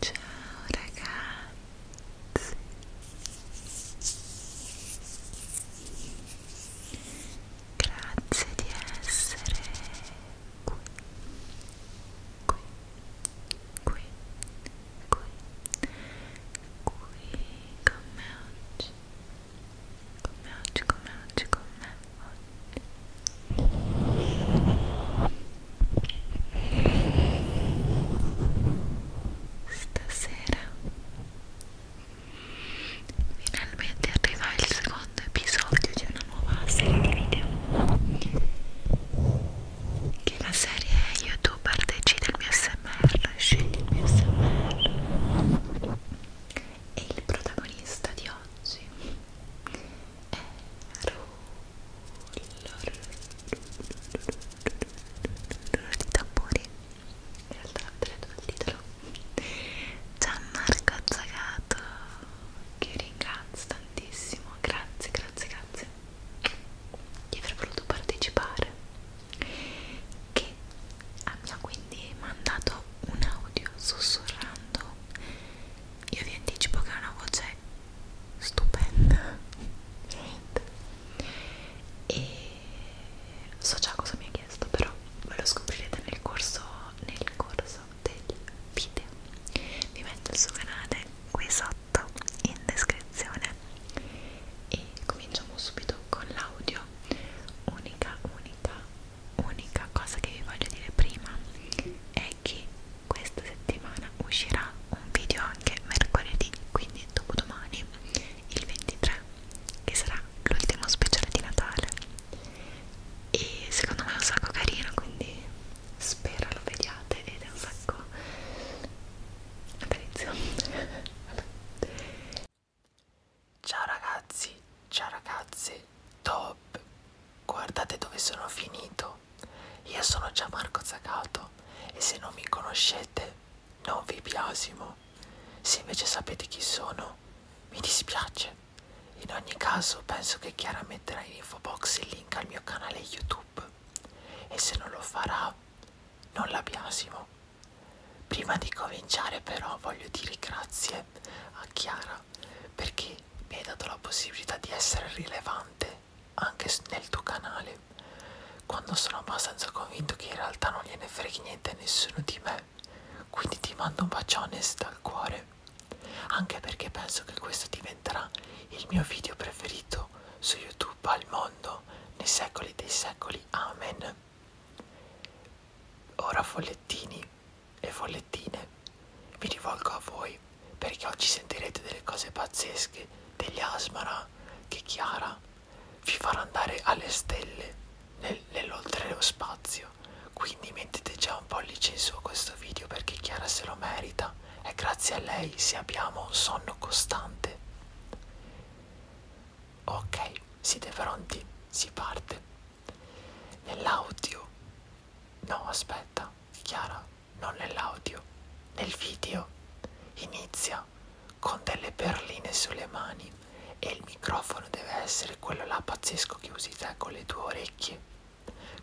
Ciao ragazzi Grazie di essere qui qui qui qui qui con me oggi come oggi, come oggi, come oggi stasera finalmente arriva il secondo episodio di una nuova serie di video che la serie youtuber decide il mio smr ASMR, scegliermi ASMR e il protagonista di oggi è Rullo di tamburi in realtà l'ho detto il titolo Gianmarco Zagato che ringrazio tantissimo grazie grazie grazie di aver voluto partecipare che abbia quindi mandato un audio sussurrando io vi anticipo che è una voce stupenda e so già cosa mi ha chiesto però ve lo scoprirete nel corso nel corso del video vi metto il suo canale qui sotto in descrizione e cominciamo subito con l'audio unica, unica, unica cosa che vi voglio dire prima è che questa settimana uscirà un video anche mercoledì, quindi dopodomani, il 23, che sarà l'ultimo speciale di Natale e secondo me è un sacco carino, quindi spero lo vediate ed è un sacco... Vabbè, Ciao ragazzi, ciao ragazze, top! Guardate dove sono finito. Io sono Gianmarco Zagato e se non mi conoscete non vi biasimo. Se invece sapete chi sono, mi dispiace. In ogni caso penso che Chiara metterà in info box il link al mio canale YouTube e se non lo farà non la biasimo. Prima di cominciare però voglio dire grazie a Chiara perché mi hai dato la possibilità di essere rilevante anche nel tuo canale quando sono abbastanza convinto che in realtà non gliene freghi niente a nessuno di me. Quindi ti mando un bacione dal cuore, anche perché penso che questo diventerà il mio video preferito su YouTube al mondo nei secoli dei secoli. Amen. Ora follettini e follettine, mi rivolgo a voi perché oggi sentirete delle cose pazzesche, degli asmara che Chiara vi farà andare alle stelle nel, nell'oltre lo spazio. Quindi mettete già un pollice in su a questo video perché Chiara se lo merita. È grazie a lei se abbiamo un sonno costante. Ok, siete pronti? Si parte. Nell'audio. No, aspetta, Chiara, non nell'audio. Nel video. Inizia con delle perline sulle mani e il microfono deve essere quello là pazzesco che usi te con le tue orecchie.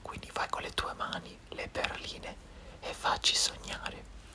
Quindi fai con le tue mani le perline e facci sognare.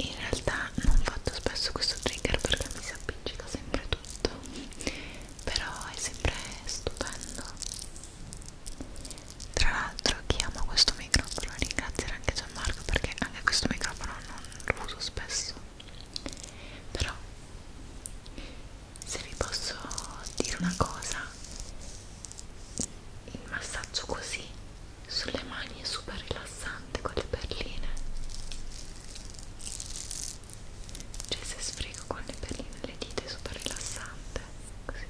In realtà non faccio spesso questo trigger perché mi si appiccica sempre tutto, però è sempre stupendo. Tra l'altro chi ama questo microfono ringrazierà anche già una marca perché anche questo microfono non lo uso spesso però se vi posso dire una cosa il massaggio così sulle mani è super rilassante con le perline cioè se sfrego con le perline le dita è super rilassante così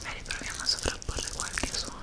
magari proviamo a qualche suono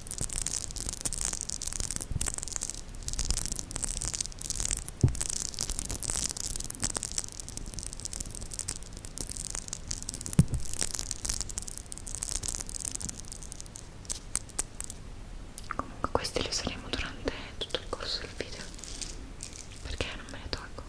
Comunque questi li useremo durante tutto il corso del video perché non me ne tolgo.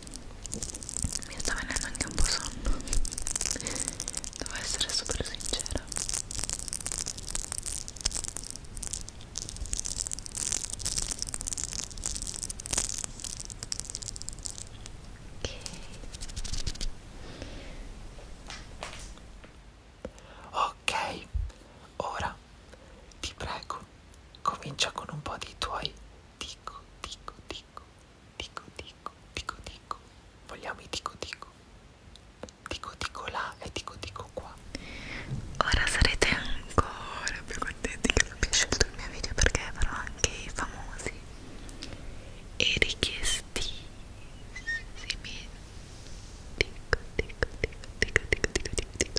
mi sta venendo anche un po' sonno devo essere super sincera ok ora ti prego comincia con un po' di tuoi Tico, tico, tico, tico, tico, tico, tico. Vogliamo i tico, tico. Tico, tico là e tico, tico qua. Ora sarete ancora più contenti che abbia scelto il mio video perché avrò anche i famosi e richiestissimi. Tico, tico, tico, tico, tico, tico, tico, tico.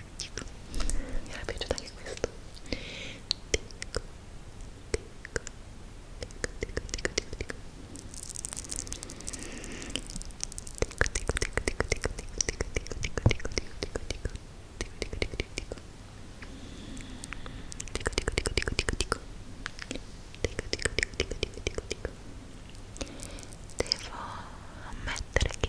mi era piaciuto anche questo ticco, ticco, ticco, ticco, ticco, ticco. Tico, tico, tico, tico, tico, tico, tico, tico, tico, tico. Devo ammettere che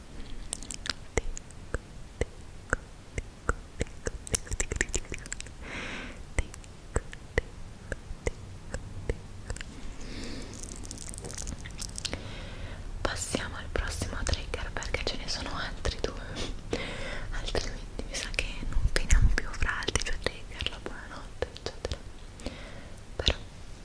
Passiamo al prossimo trigger perché ce ne sono altri due, altrimenti mi sa che non finiamo più fra altri due trigger, la buonanotte, eccetera. Però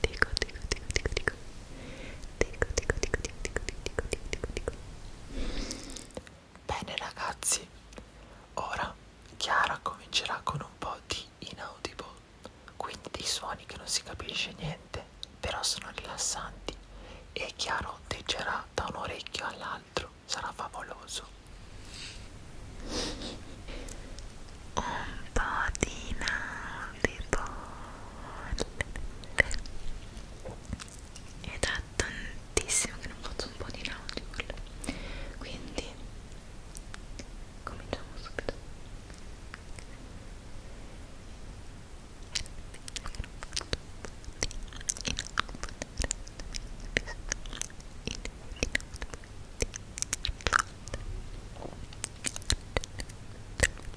dico dico dico dico dico dico dico dico dico dico dico dico dico dico bene ragazzi ora Chiara comincerà con un po' di inaudible quindi dei suoni che non si capisce niente però sono rilassanti e Chiara ondeggerà da un orecchio all'altro sarà favoloso un po' di nautipolle è da tantissimo che non faccio un po' di nautipolle quindi cominciamo subito Ecco,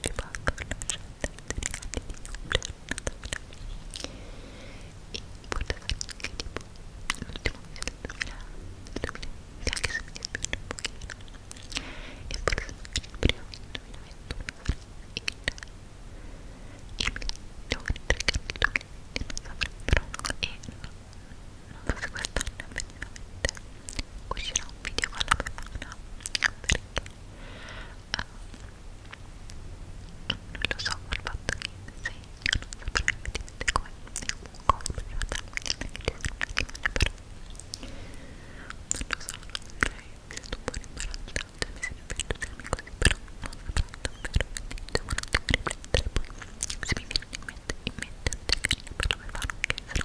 che va a conoscere e poteva anche tipo l'ultimo mese del 2000, 2020 anche se mi piace un pochino e forse il primo del 2021 il mio trigger del 2020 non saprò però e non so se quest'anno effettivamente uscirà un video con la bevana perché uh, non lo so col fatto che se io non saprei vedere come compro in realtà quindi non lo so mi sento un po' imbarazzata mi sento più entusiasmi così però non saprò davvero quindi devo un attimo riflettere poi se mi viene in mente in mente un'idea carina per la bevana che sarà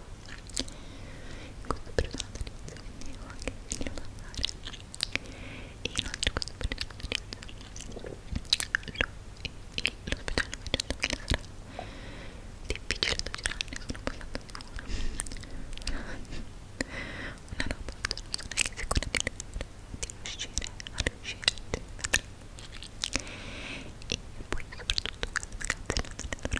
fatto in questo periodo natalizio quindi ho anche il video da fare e inoltre questo periodo natalizio lo, il, lo speciale mi ha detto che sarà difficile da girare sono passata di buono una roba cioè non sono neanche sicura di, di riuscire a riuscire a e poi soprattutto quando mi canzone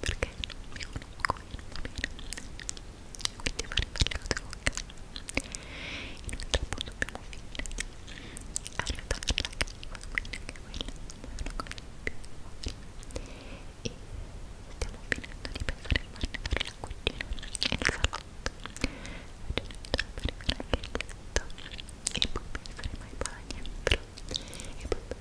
perché non mi conosco e non va bene quindi fare le cose con calma inoltre poi dobbiamo finire di allevare la calma quindi anche quella è una cosa più importante e stiamo finendo di pensare a farne per la cucina e il salotto facendo per arrivare anche il piatto e poi penseremo ai bagni però e poi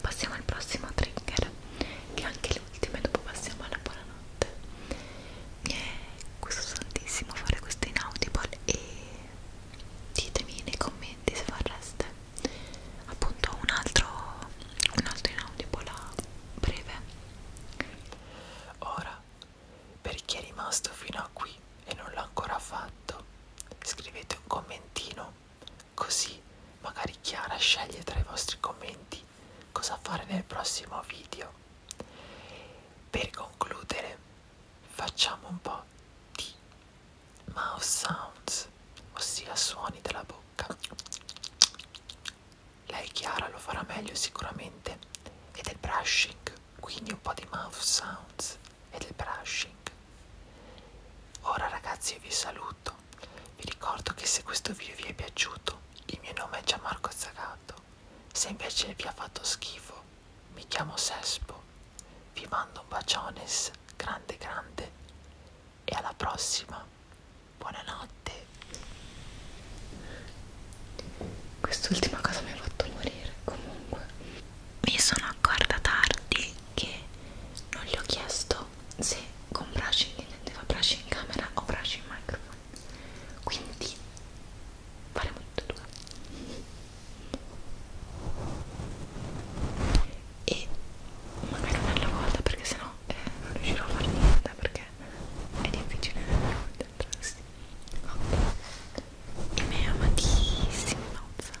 passiamo al prossimo trigger che è anche l'ultimo e dopo passiamo alla buonanotte mi è gustosantissimo fare questo in audible e ditemi nei commenti se vorreste appunto un altro un altro in audible a breve ora per chi è rimasto fino a qui e non l'ha ancora fatto scrivete un commentino Così magari Chiara sceglie tra i vostri commenti cosa fare nel prossimo video. Per concludere facciamo un po' di mouth sounds, ossia suoni della bocca. Lei Chiara lo farà meglio sicuramente e del brushing, quindi un po' di mouth sounds e del brushing. Ora ragazzi io vi saluto, vi ricordo che se questo video vi è piaciuto il mio nome è Gianmarco Zagato, se invece vi ha fatto schifo mi chiamo Sespo, vi mando un baciones grande grande e alla prossima, buonanotte. Quest'ultima cosa mi ha fatto morire comunque mi sono accorta tardi che non gli ho chiesto se con brushing intendeva brush in camera o brush in microfono quindi faremo tutto due e magari un'altra volta perché sennò eh, non riuscirò a fare niente perché è difficile concentrarsi ok i miei amatissimi mouth sounds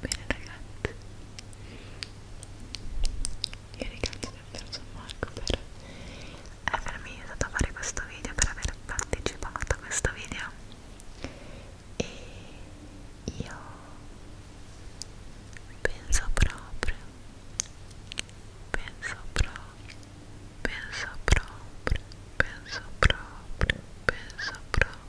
Bene ragazzi, io ringrazio davvero San Marco per avermi aiutato a fare questo video, per aver partecipato a questo video e io penso proprio, penso proprio, penso proprio, penso proprio, penso proprio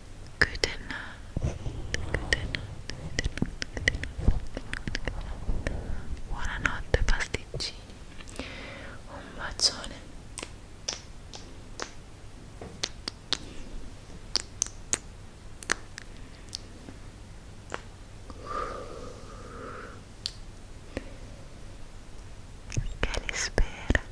Good night. Good night. Good night. Buonanotte pasticcini. Un bacione. Che li spera?